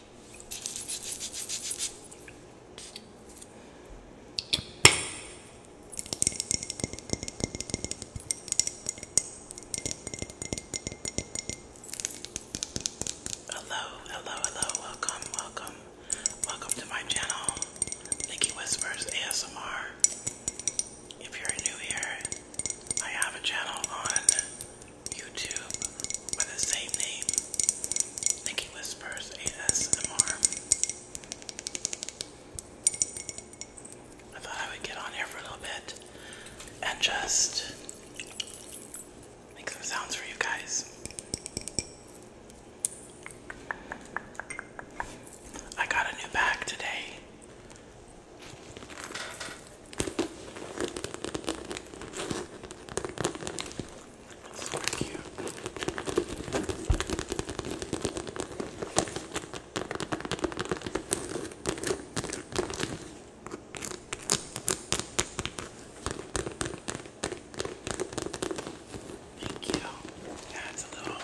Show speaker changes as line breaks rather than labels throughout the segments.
Hello, hello, hello, welcome, welcome, welcome to my channel, Nikki Whispers ASMR. If you're new here, I have a channel on YouTube by the same name, Nikki Whispers ASMR. I thought I would get on here for a little bit and just make some sounds for you guys. I got a new bag today. Super cute. Thank you. That's a little.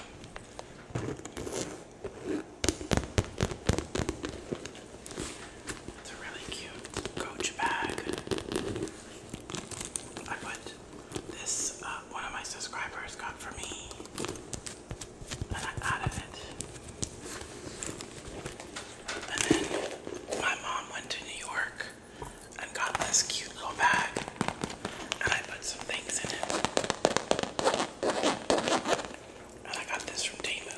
It's a really cute Coach bag. I put this, uh, one of my subscribers got for me, and I added it. And then my mom went to New York and got this cute little bag, and I put some things in it. And I got this from Temu.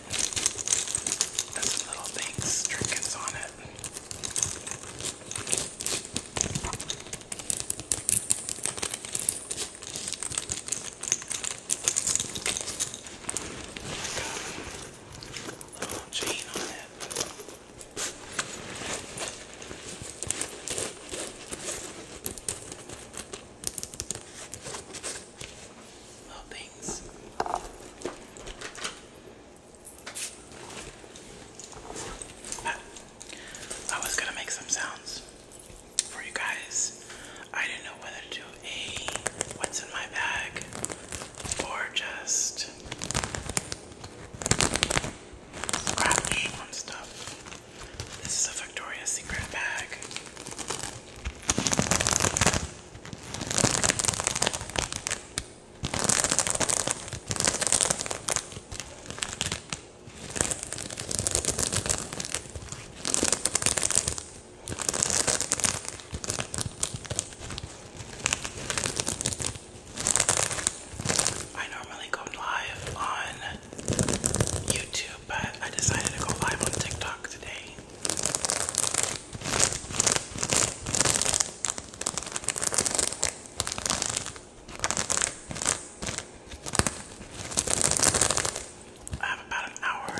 That's This little things, trinkets on it. Like a little chain on it little oh, things. I was gonna make some sounds for you guys. I didn't know whether to do a what's in my bag or just scratch on stuff. This is a Victoria's Secret bag. I normally go live on YouTube but I decided to go live on TikTok today. I have about an hour.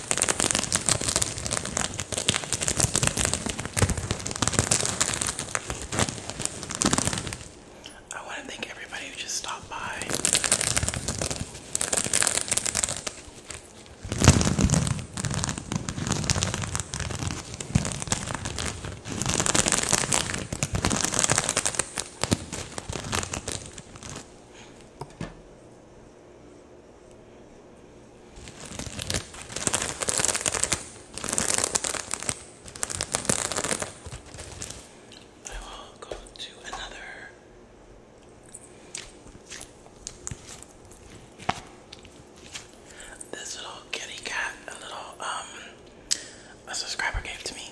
I want to thank everybody who just stopped by. I will go to another this little kitty cat, a little um a subscriber gave to me.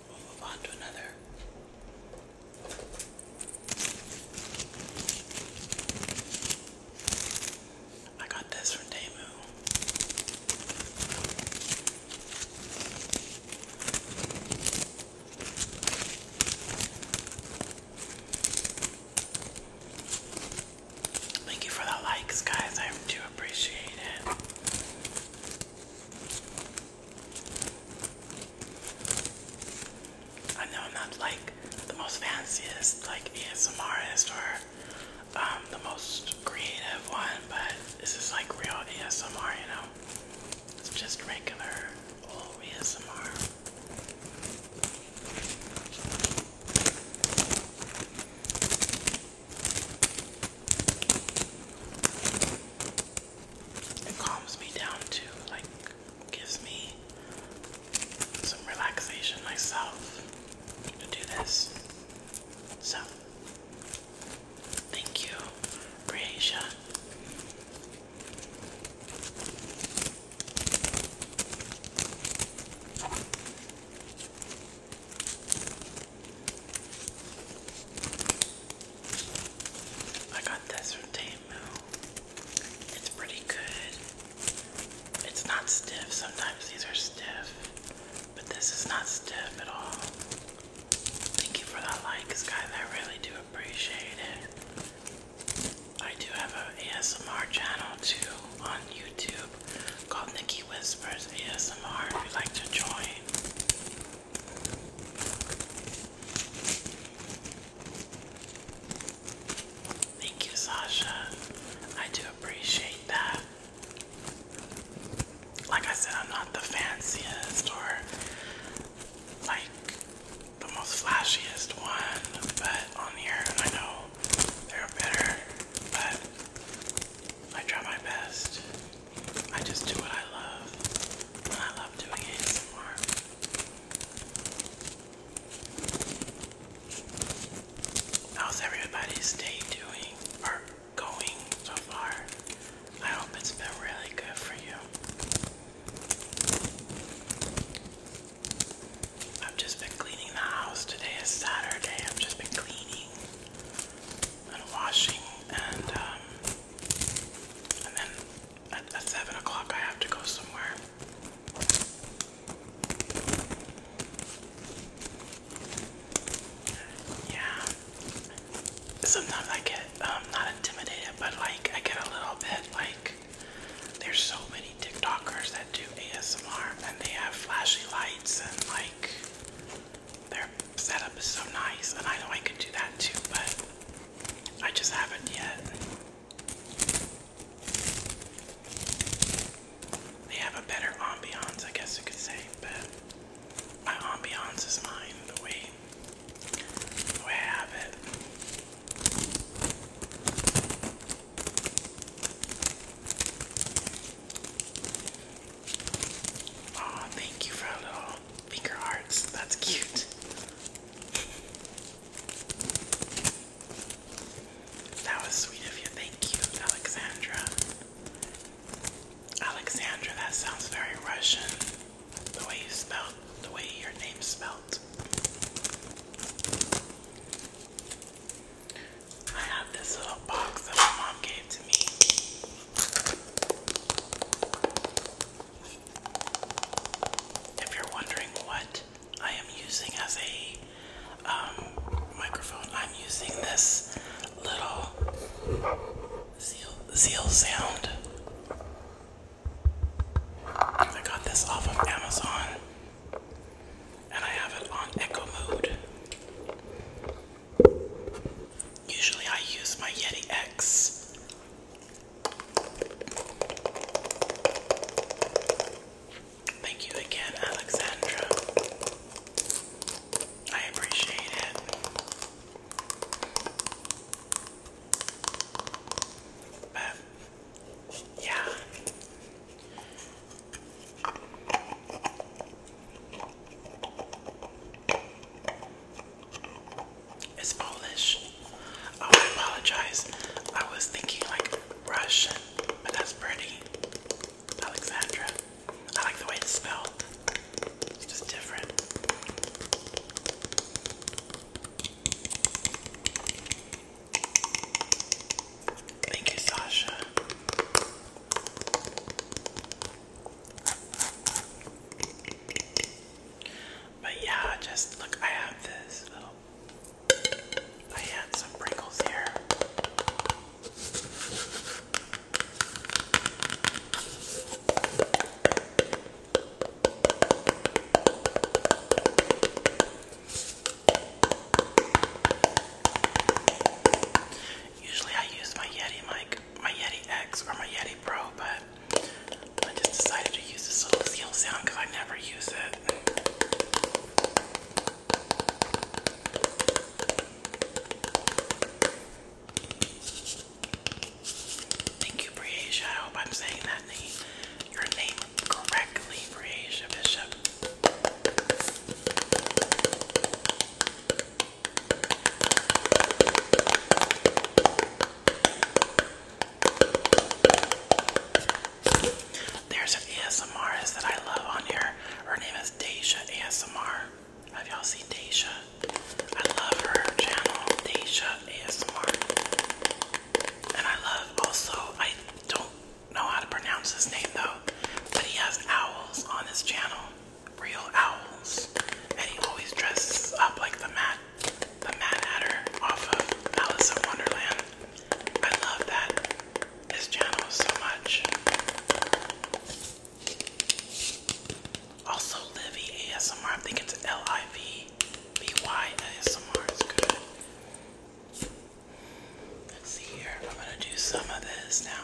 We'll move on to another. I got this from Damu. Thank you for the likes, guys. I do appreciate it. I know I'm not like the most fanciest, like ASMRist or um, the most creative one, but this is like real ASMR, you know? It's just regular old ASMR. It calms me down too, like gives me some relaxation myself to do this. So, thank you, Creatia. I got this from Temu. It's pretty good. It's not stiff. Sometimes these are stiff, but this is not stiff at all. Thank you for that like, guys. I really do appreciate it. I do have an ASMR channel too on YouTube called Nikki Whispers ASMR if you'd like to join. Thank you, Sasha. I do appreciate that. Like I said, I'm not the fanciest or like the most flashiest one, but on here, I know they're better, but I try my best. I just do what I love. And I love doing ASMR. How's everybody's day doing or going so far? I hope it's been really good for you. I've just been cleaning the house. Today is Saturday. I've just been cleaning and washing and um, and then at, 7 o'clock, I have to go somewhere. Yeah. Sometimes I get, um, not intimidated, but like, I get a little bit like, there's so many TikTokers that do ASMR and they have flashy lights and like, they're setup is so nice, and I know I could do that too, but I just haven't yet. They have a better ambiance, I guess you could say, but my ambiance is mine, the way, the have it. Oh, thank you for a finger hearts. That's cute. That was sweet of you. Thank you, Alexandra. Alexandra, that sounds very Russian. The way you spelled, the way your name's spelled. I have this little box that my mom gave to me. If you're wondering what I am using as a um, microphone, I'm using this little zeal, zeal sound. I got this off of Amazon and I have it on echo mode. Usually I use my Yeti X Thank you again, Alexandra. I appreciate it. Um, yeah. It's Polish. I apologize. I was thinking like Russian, but that's pretty. Alexandra. I like the way it's spelled. It's just different. Thank you, Sasha. But yeah, just look, I have this I had some wrinkles here. Usually I use my Yeti mic, my Yeti X or my Yeti Pro, but I just decided to use this little seal sound because I never use it. Thank you, Briasia. I hope I'm saying that your name correctly, Briasia Bishop. There's an ASMRist that I love on here. Her name is Deja ASMR. Have y'all seen Deja? I love her channel, Deja ASMR. And I love also, I don't know how to pronounce his name though, but he has owls on his channel. Real owls. And he always dresses up like the Mad the Mad Hatter off of Alice in Wonderland. I love that his channel so much. Also, Livy ASMR. I think it's L I V B Y ASMR. It's good. Let's see here. I'm gonna do some of this now.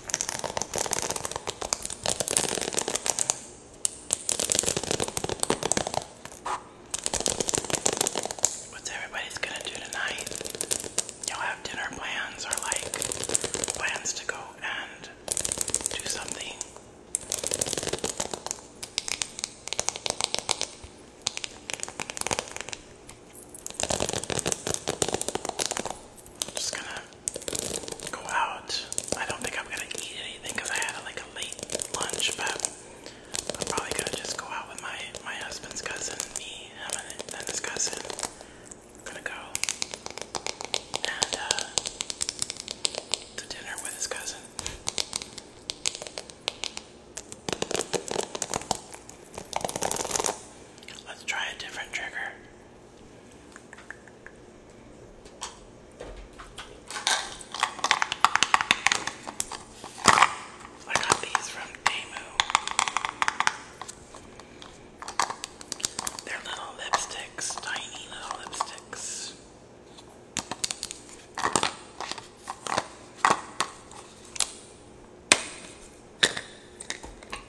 What's everybody's gonna do tonight? Y'all have dinner plans or like plans to go and do something? I'm just gonna go out. I don't think I'm gonna eat anything because I had like a late lunch, but I'm probably gonna just go out with my my husband's cousin, me, him, and his cousin. I'm gonna go and uh, to dinner with his cousin. Let's try a different trigger. I got these from Temu. They're little lipsticks, tiny little lipsticks.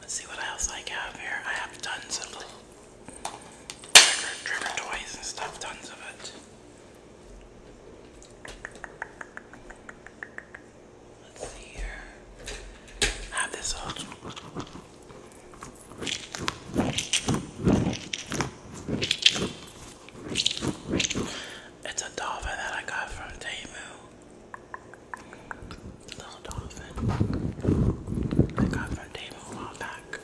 Let's see what else I have here. I have tons of little trigger, trigger toys and stuff, tons of it. Let's see here. I have this old it's a dolphin that I got from Temu. Little dolphin. I got from Temu a back.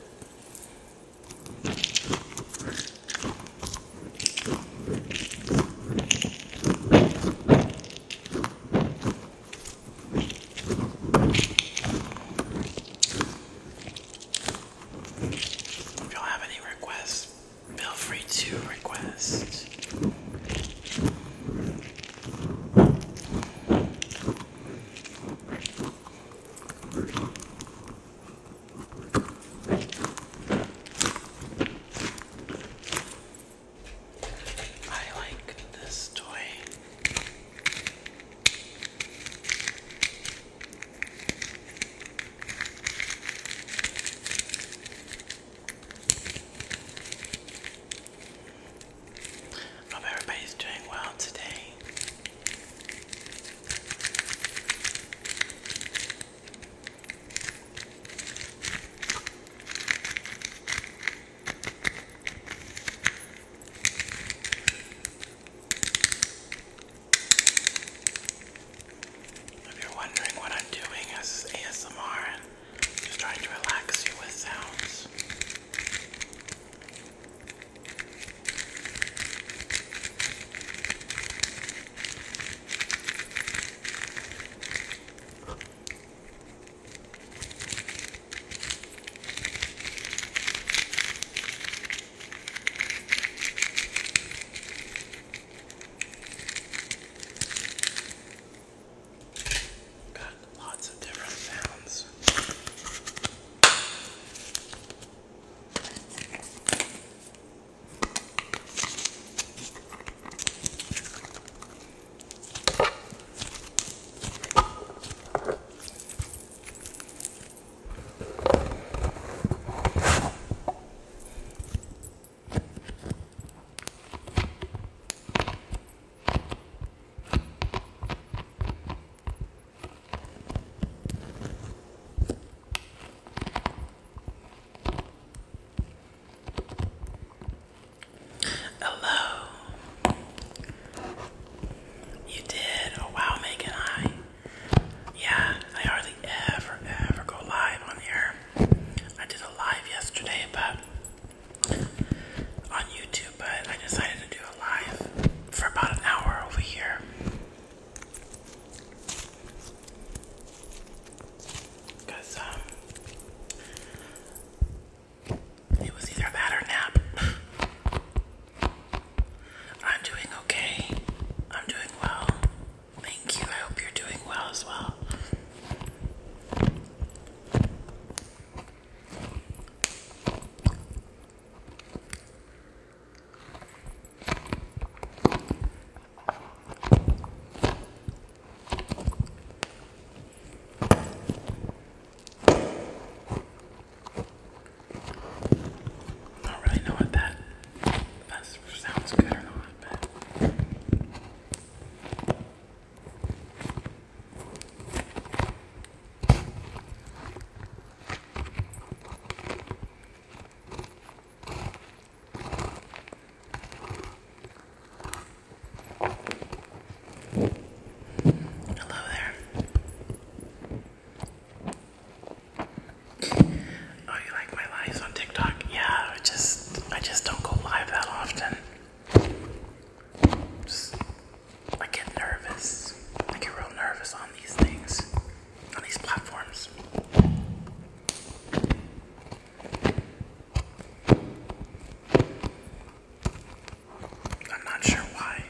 If y'all have any requests feel free to request. I like this toy. Hope everybody's doing well today. If you're wondering what I'm doing, this is ASMR. Just trying to relax you with sounds. Got lots of different sounds. Hello. You did. Oh wow, Megan. Hi. Yeah, I hardly ever, ever go live on here. I did a live yesterday, but on YouTube, but I decided to do a live for about an hour over here. Because, um, it was either that or nap. I'm doing okay. I'm doing well. Thank you. I hope you're doing well as well. I know what that that sounds good or not, Hello there. Oh, you like my lives on TikTok? Yeah, I just I just don't go live that often. I get nervous. I get real nervous on these things, on these platforms. I'm not sure why.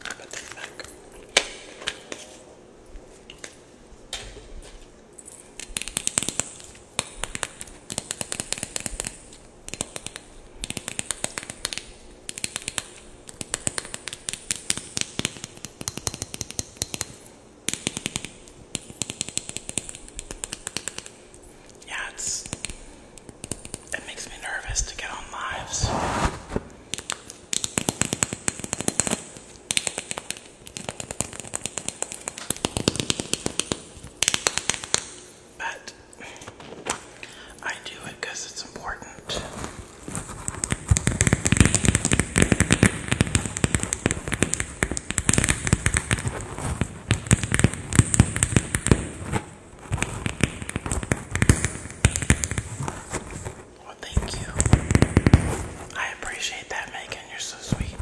Put them back. Yeah, it's it makes me nervous to get on lives. But I do it it's important. Well, thank you. I appreciate that, Megan. You're so sweet.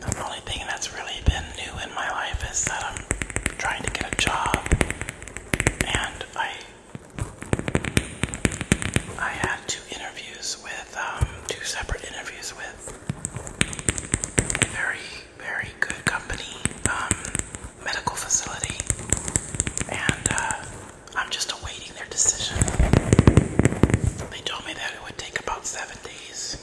The only thing that's really been new in my life is that I'm trying to get a job, and I I had two interviews with um, two separate interviews with very very good company, um, medical facility, and uh, I'm just awaiting their decision. They told me that it would take about seven days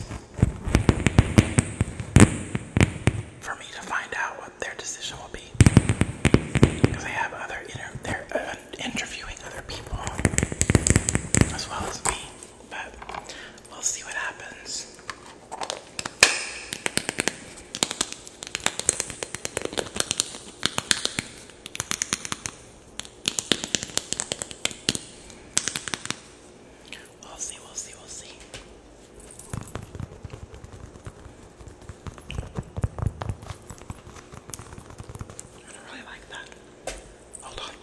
for me to find out what their decision will be, because they have other inter they're uh, interviewing other people as well as me. But We'll see what happens. We'll see, we'll see, we'll see. I really like that. Hold on.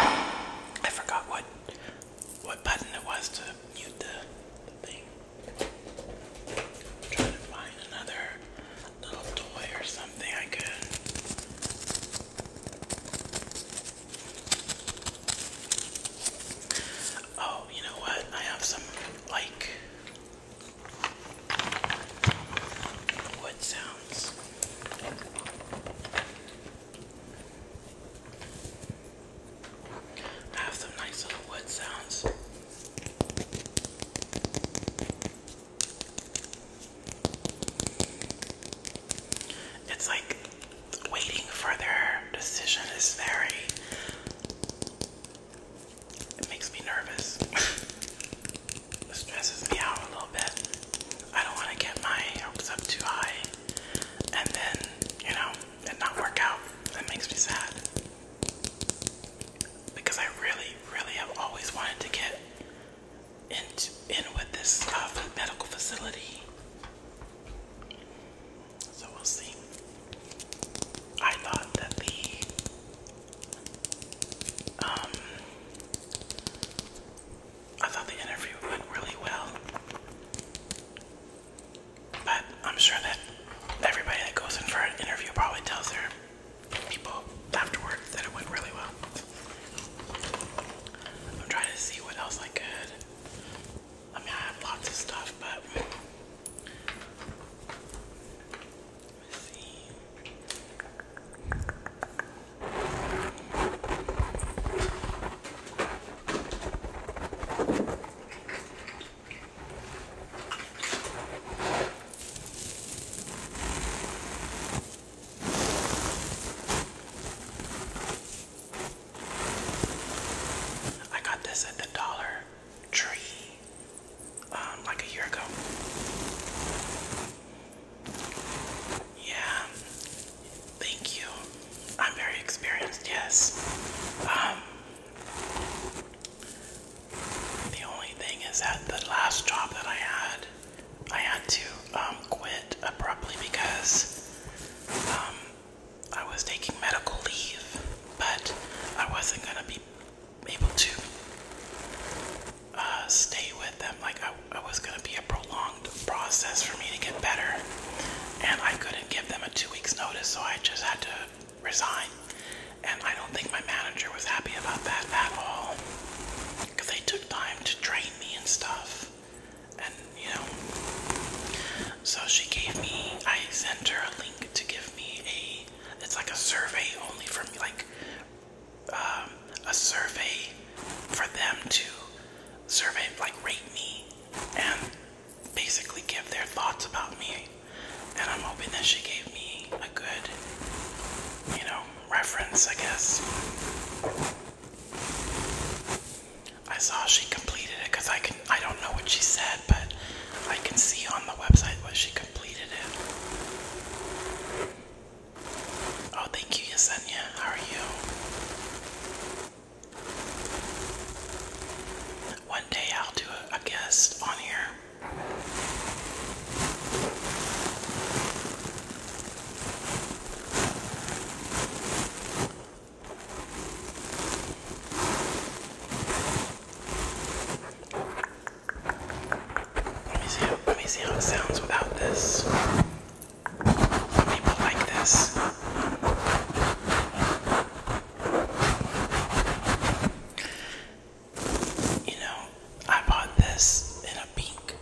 I forgot what what button it was to mute the, thing. trying to find another little toy or something I could. Oh, you know what? I have some like wood sounds. I have some nice little wood sounds. It's like waiting for their decision is very it makes me nervous. it stresses me out a little bit. I don't want to get my hopes up too high and then, you know, it not work out. That makes me sad. Because I really, really have always wanted to get into, in with this uh, medical facility. So we'll see. I thought that the um, I thought the interview went really well, but I'm sure that everybody that goes in for an interview probably tells their people afterward that it went really well. I'm trying to see what else I could. I mean, I have lots of stuff, but I got this at the Dollar Tree. Um, like a year ago. Yeah, thank you. I'm very experienced, yes. Um, the only thing is that the last job that I had, I had to um, quit abruptly because I was taking medical leave, but I wasn't gonna be able to uh, stay with them. Like I, was gonna be a prolonged process for me to get better, and I couldn't give them a two weeks notice, so I just had to resign. And I don't think my manager was happy about that at all, they took time to train me and stuff, and you know. So she gave me. I sent her a link to give me a. It's like a survey only from like um, a survey for them to survey, like rate me, and basically give their thoughts about me. And I'm hoping that she gave me a good, you know, reference, I guess. I saw she completed it because I can. I don't know what she said, but I can see on the website what she completed it. Oh, thank you, Yesenia. How are you? One day I'll do a guest on here. Let me see. How, let me see how it sounds without this. people like this. You know, I bought this in a pink.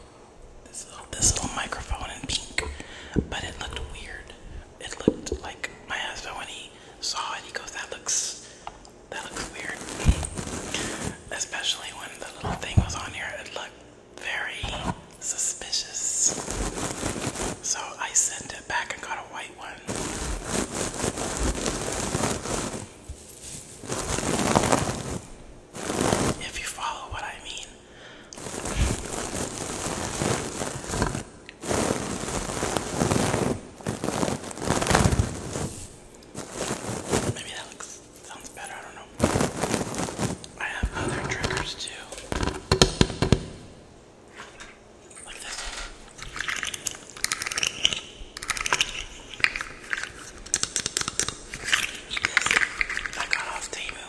This little, this little microphone in pink, but it looked weird. It looked like my husband when he saw it. He goes, "That looks that looks weird. Especially when the little thing was on here, it looked very suspicious. So I sent it back and got a white one. If you follow what I mean. Maybe that looks Sounds better, I don't know. I have other triggers too. Like this. This I got off Temu.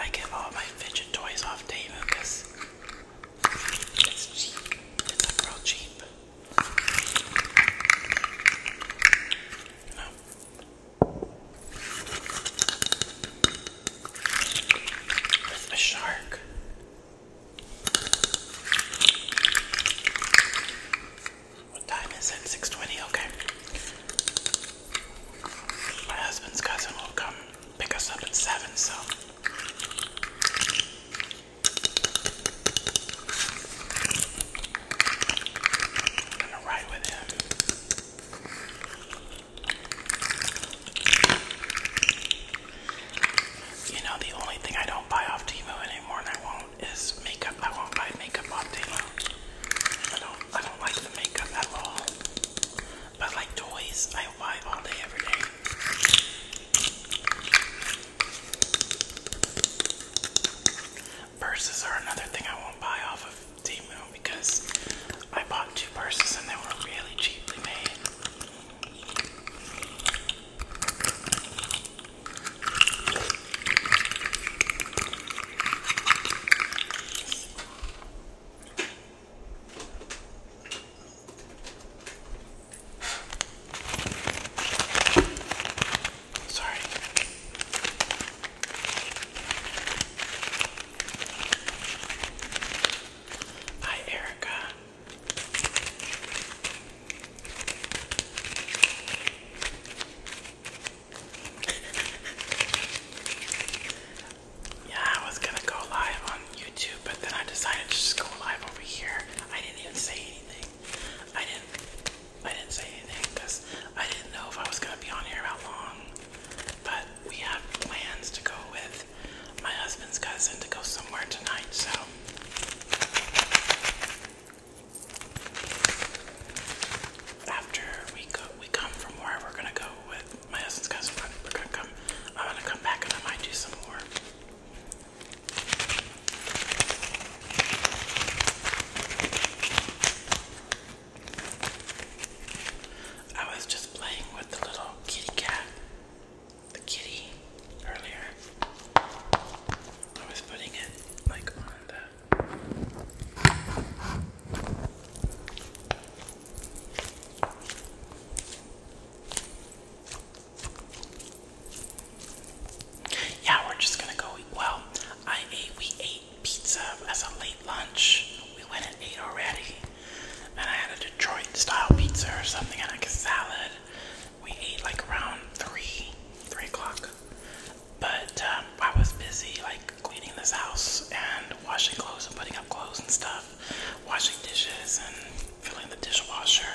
I get all my fidget toys off Temu because it's cheap. It's like real cheap. No. With a shark. What time is it? 6.20? Okay. My husband's cousin will come pick us up at 7, so you know, the only thing I don't buy off Timo anymore, and I won't, is makeup. I won't buy makeup off Timo. I don't, I don't like the makeup at all. But like toys, I buy all day, every day. Purses are another thing I won't buy off of Temu because I bought two purses and they were really cheaply made. Sorry. Hi, Erica. yeah, I was gonna go live on YouTube, but then I decided to just go live over here. I didn't even say anything. I didn't I didn't say anything because I didn't know if I was gonna be on here how long. But we have plans to go with my husband's cousin to go somewhere tonight, so after we go we come from where we're gonna go with my husband's cousin, we're gonna come I'm gonna come back and I might do some more. I was just playing with the little kitty cat, the kitty, earlier. I was putting it like on the. Yeah, we're just gonna go eat. Well, I ate, we ate pizza as a late lunch. We went and ate already. And I had a Detroit style pizza or something and like a salad. We ate like around three, three o'clock. But um, I was busy like cleaning this house and washing clothes and putting up clothes and stuff, washing dishes and filling the dishwasher.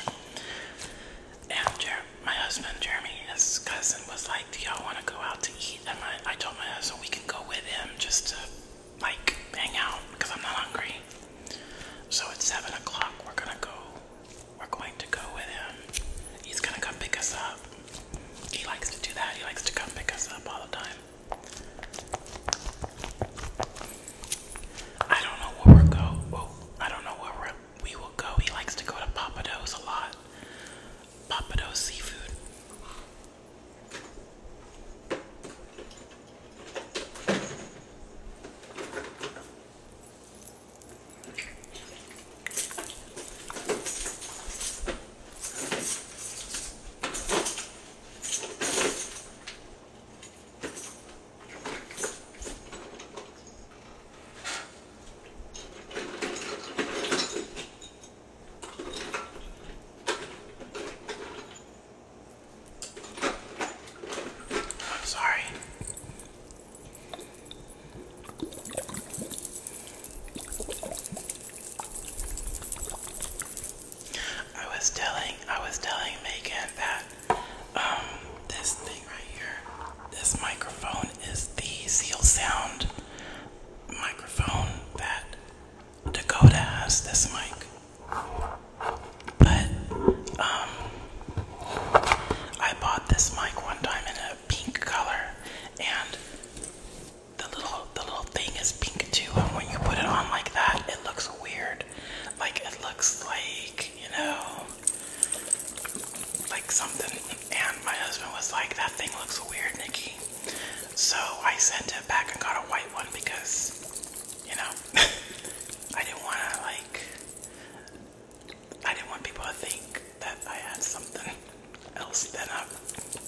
And my husband Jeremy, his cousin was like, "Do y'all want to go out to eat?" And my, I told my husband we can go with him just to like hang out because I'm not hungry. So at seven o'clock, we're gonna go. We're going to go with him. He's gonna come pick us up. He likes to do that. He likes to come pick us up all the time. I don't know where we're go. Oh, I don't know where we're we will go. He likes to go to Papado's a lot. Papado's seafood. I'm sorry. I was telling I was telling Megan that um this right here. This microphone is the Seal Sound microphone that Dakota has. This mic, but um, I bought this mic one time in a pink color, and the little the little thing is pink too. And when you put it on like that, it looks weird. Like it looks like you know, like something and my husband was like, that thing looks weird, Nikki. So I sent it back and got a white one because, you know, I didn't want to, like, I didn't want people to think that I had something else than a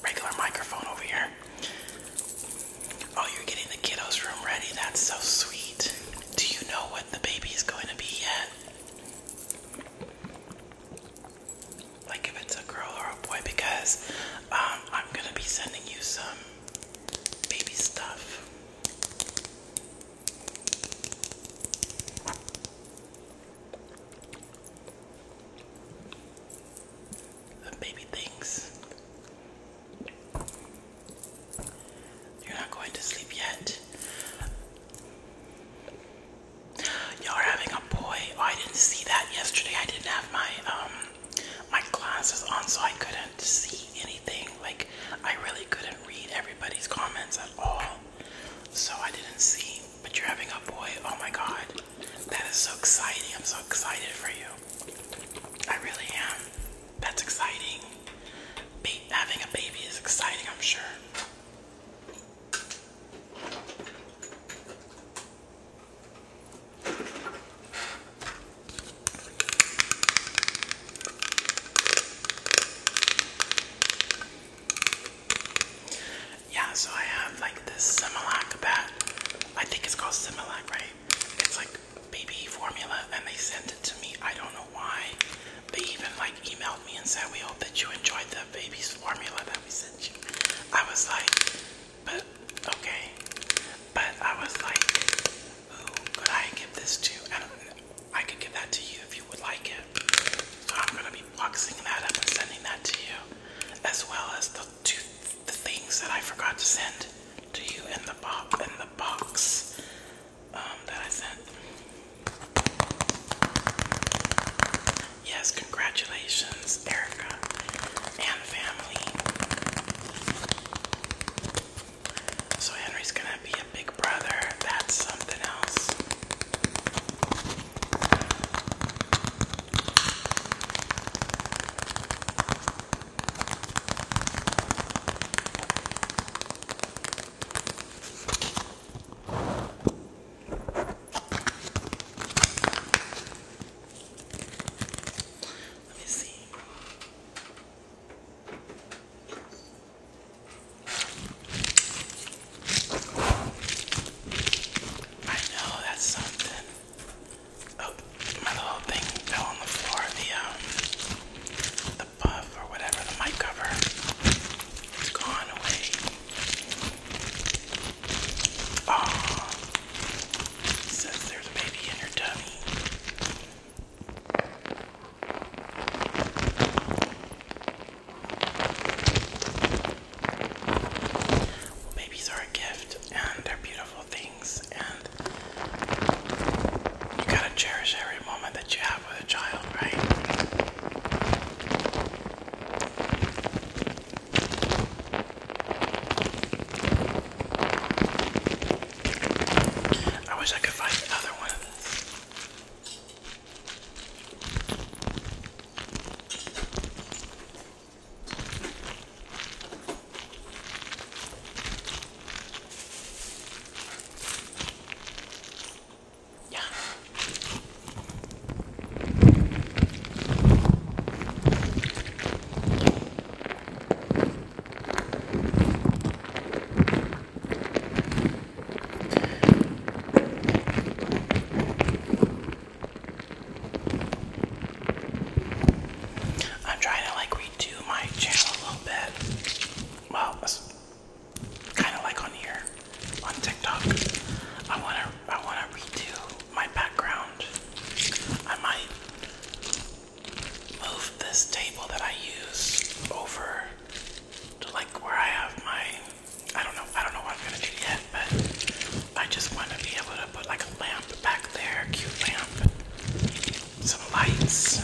regular microphone over here. Oh, you're getting the kiddos' room ready. That's so sweet. Do you know what the baby is going to be yet? like if it's a girl or a boy because um, I'm gonna be sending you some baby stuff. The baby things. You're not going to sleep yet. Y'all are having a boy. Oh, I didn't see that yesterday. I didn't have my um my glasses on, so I couldn't see anything. Like I really couldn't read everybody's comments at all. So I didn't see. But you're having a boy. Oh my god. That is so exciting. I'm so excited for you. I really am. That's exciting. having a baby is exciting, I'm sure. Yeah, so I have like this Similac that I think it's called Similac, right? It's like baby formula, and they sent it to me. I don't know why. They even like emailed me and said, We hope that you enjoyed the baby's formula that we sent you. I was like, But okay. But I was like, Who could I give this to? I don't know. I could give that to you if you would like it. So I'm gonna be boxing that up and sending that to you, as well as the two the things that I forgot to send to you in the box in the box um, that I sent. Yes, congratulations, Erica and family. So, Henry's gonna be a big brother. That's something else. Let me see. I know that's something. Oh, my little thing fell on the floor. The um, the puff or whatever, the mic cover, it's gone away. Oh, says there's a baby in your tummy. babies are a gift, and they're beautiful things, and you gotta cherish every moment that you have with a child, right? I wish I could find another one. Yeah. I'm trying to like redo my channel a little bit. Well, kind of like on here on TikTok. I wanna I wanna redo my background. I might move this table that I use over to like where I have my I don't know I don't know what I'm gonna do yet, but I just wanna be able to put like a lamp back there, cute lamp, some lights.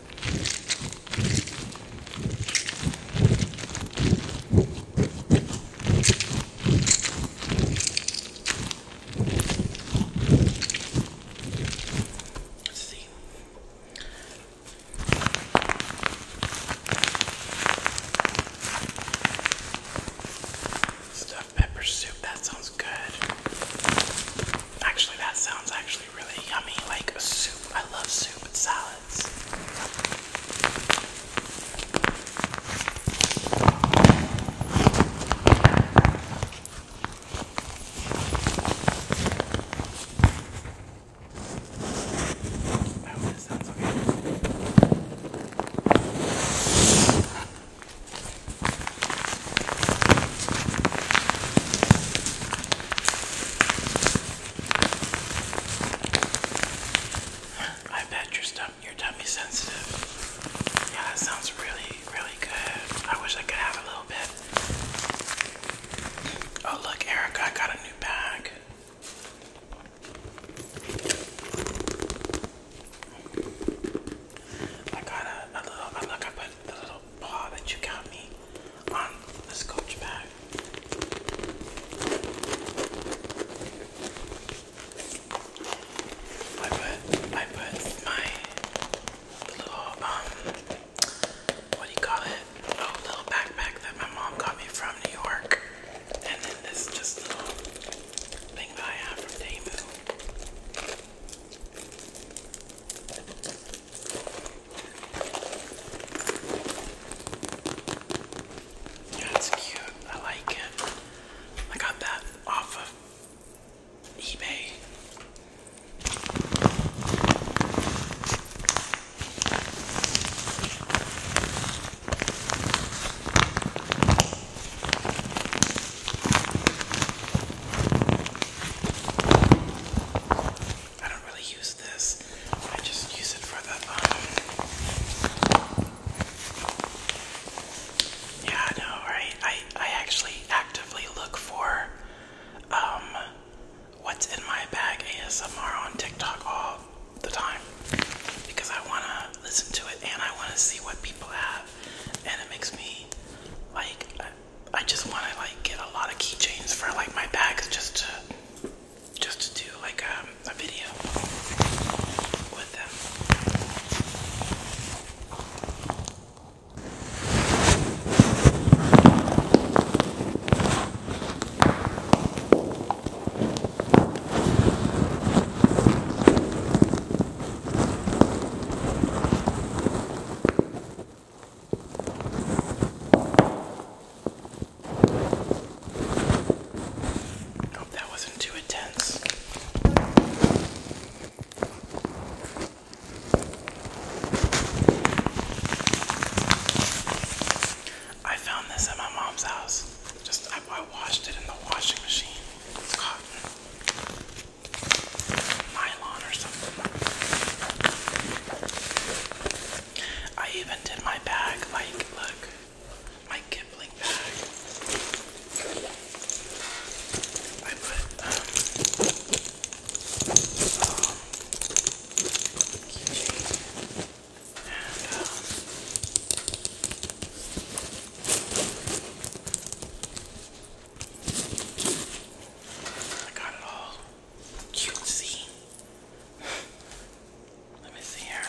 Let's see. Stuffed pepper soup, that sounds good. Actually, that sounds actually really yummy, like soup. I love soup and salads. I oh, hope this sounds okay. I bet your stuff, your tummy's sensitive. Yeah, that sounds really, really good. I wish I could have a little bit. Oh look, Erica, I got a new bag. I got a, little. Oh, look, I put a little little paw you got me on the scotch I put I put my little um what do you call it? Oh, little backpack that my mom got me from New York. And then this just little thing that I have from Damu. That's cute. I like it. I got that off of eBay. I don't really use this. I just use it for the um Yeah, I know, right? I I actually actively look for um what's in my bag ASMR on TikTok all the time because I wanna listen to it and I wanna see what people have and it makes me like I just want to like get a lot of keychains for like my bags just to just to do like um, a video with them. Hope that wasn't too intense. I found this at my mom's house. Just I, washed it in the washing machine. My I even did my bag like, look, my Kipling bag. I put, um, um, um, I got it all cutesy. Let me see here.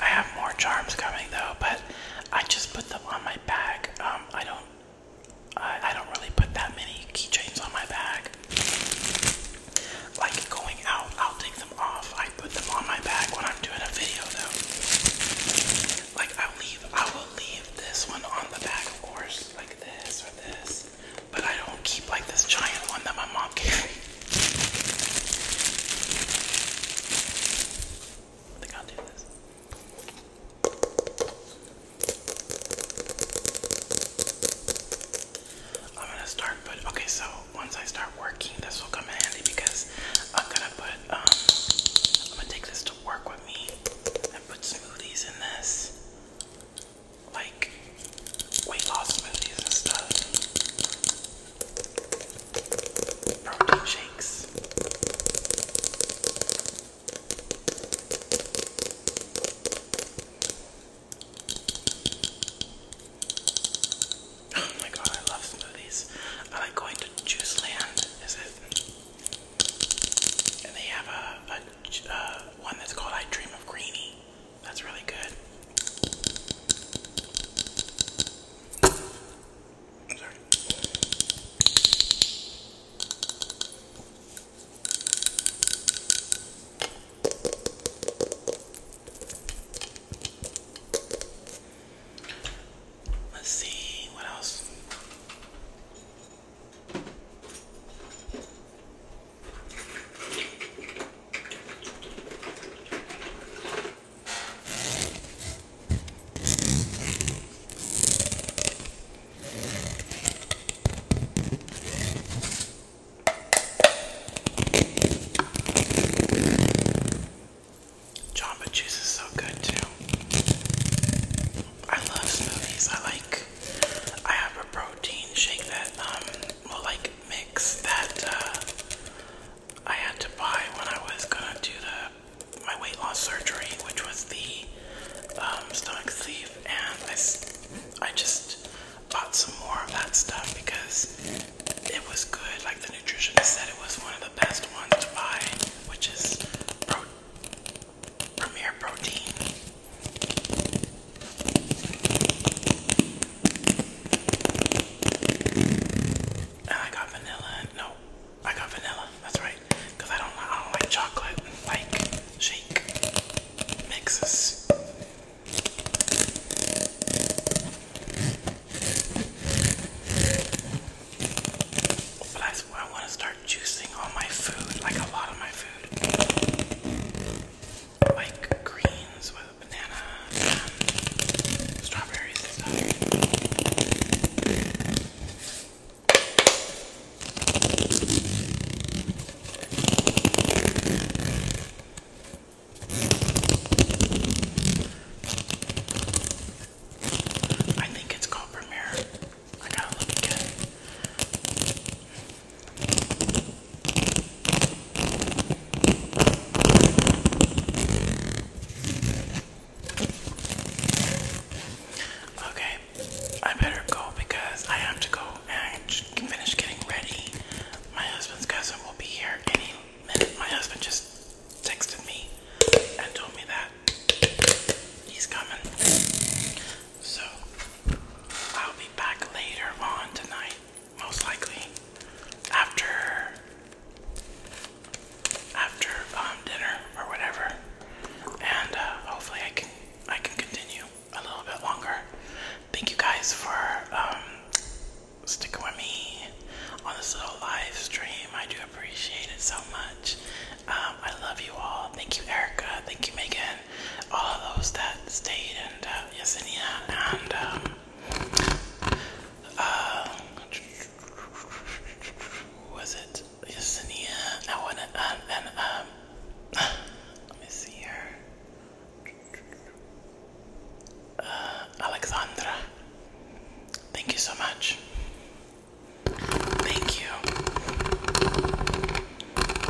I have more charms coming though, but I just put them on my bag. Um, I don't, I, I don't really put that many keychains on my bag. Like going out, I'll take them off. I put them on my back when I'm doing a video though. Like i leave I will leave this one on the back of course, like this or this. But I don't keep like this giant one that my mom gave I think I'll do this. I'm gonna start, but okay, so once I start working, this will come in handy because I'm gonna put, um, I'm gonna take this to work with me and put smoothies in this, like weight loss smoothies and stuff, protein shakes. Oh my god, I love smoothies. I like going to Juice Land, is it? And they have a, one that's called I Dream of Greenie. That's really good. sorry. Let's see what else. Jamba juice is so good too. I love smoothies. I like. I have a protein shake that um will like mix that uh, I had to buy when I was gonna do the my weight loss surgery, which was the um, stomach sleeve, and I I just bought some more of that stuff because it was good. Like the nutritionist said, it was one of the best ones to buy, which is Premier Protein. And I got vanilla. No, I got vanilla. That's right, because I don't, I don't like chocolate. Like shake mixes. But I, I want to start juicing all my food, like a lot of my food. Like greens with a banana and um, strawberries and stuff. I think it's called Premiere. I gotta look again. Okay, I better go because I have to go and finish getting ready. My husband's cousin will be here any minute. My husband just texted me and told me that he's coming. So I'll be back later on tonight, most likely. After after um, dinner or whatever. And uh, hopefully I can I can continue a little bit longer. Thank you guys for um, sticking with me on this little live stream. I do appreciate it so much. Um, I love you all. Thank you, Erica. Thank you, Megan. All of those that stayed and uh, Yesenia and um, uh, was it Yesenia? I want to um, and um. Let me see here. Uh, Alexandra. Thank you so much. Thank you.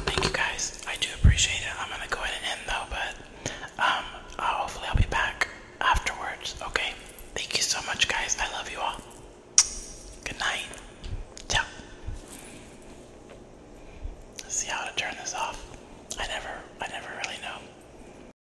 Thank you guys. I do appreciate it. I'm gonna go ahead and end though, but um, hopefully I'll be back afterwards. Okay. Thank you so much, guys. I love you all. Good night. Ciao. see how to turn this off. I never, I never really know.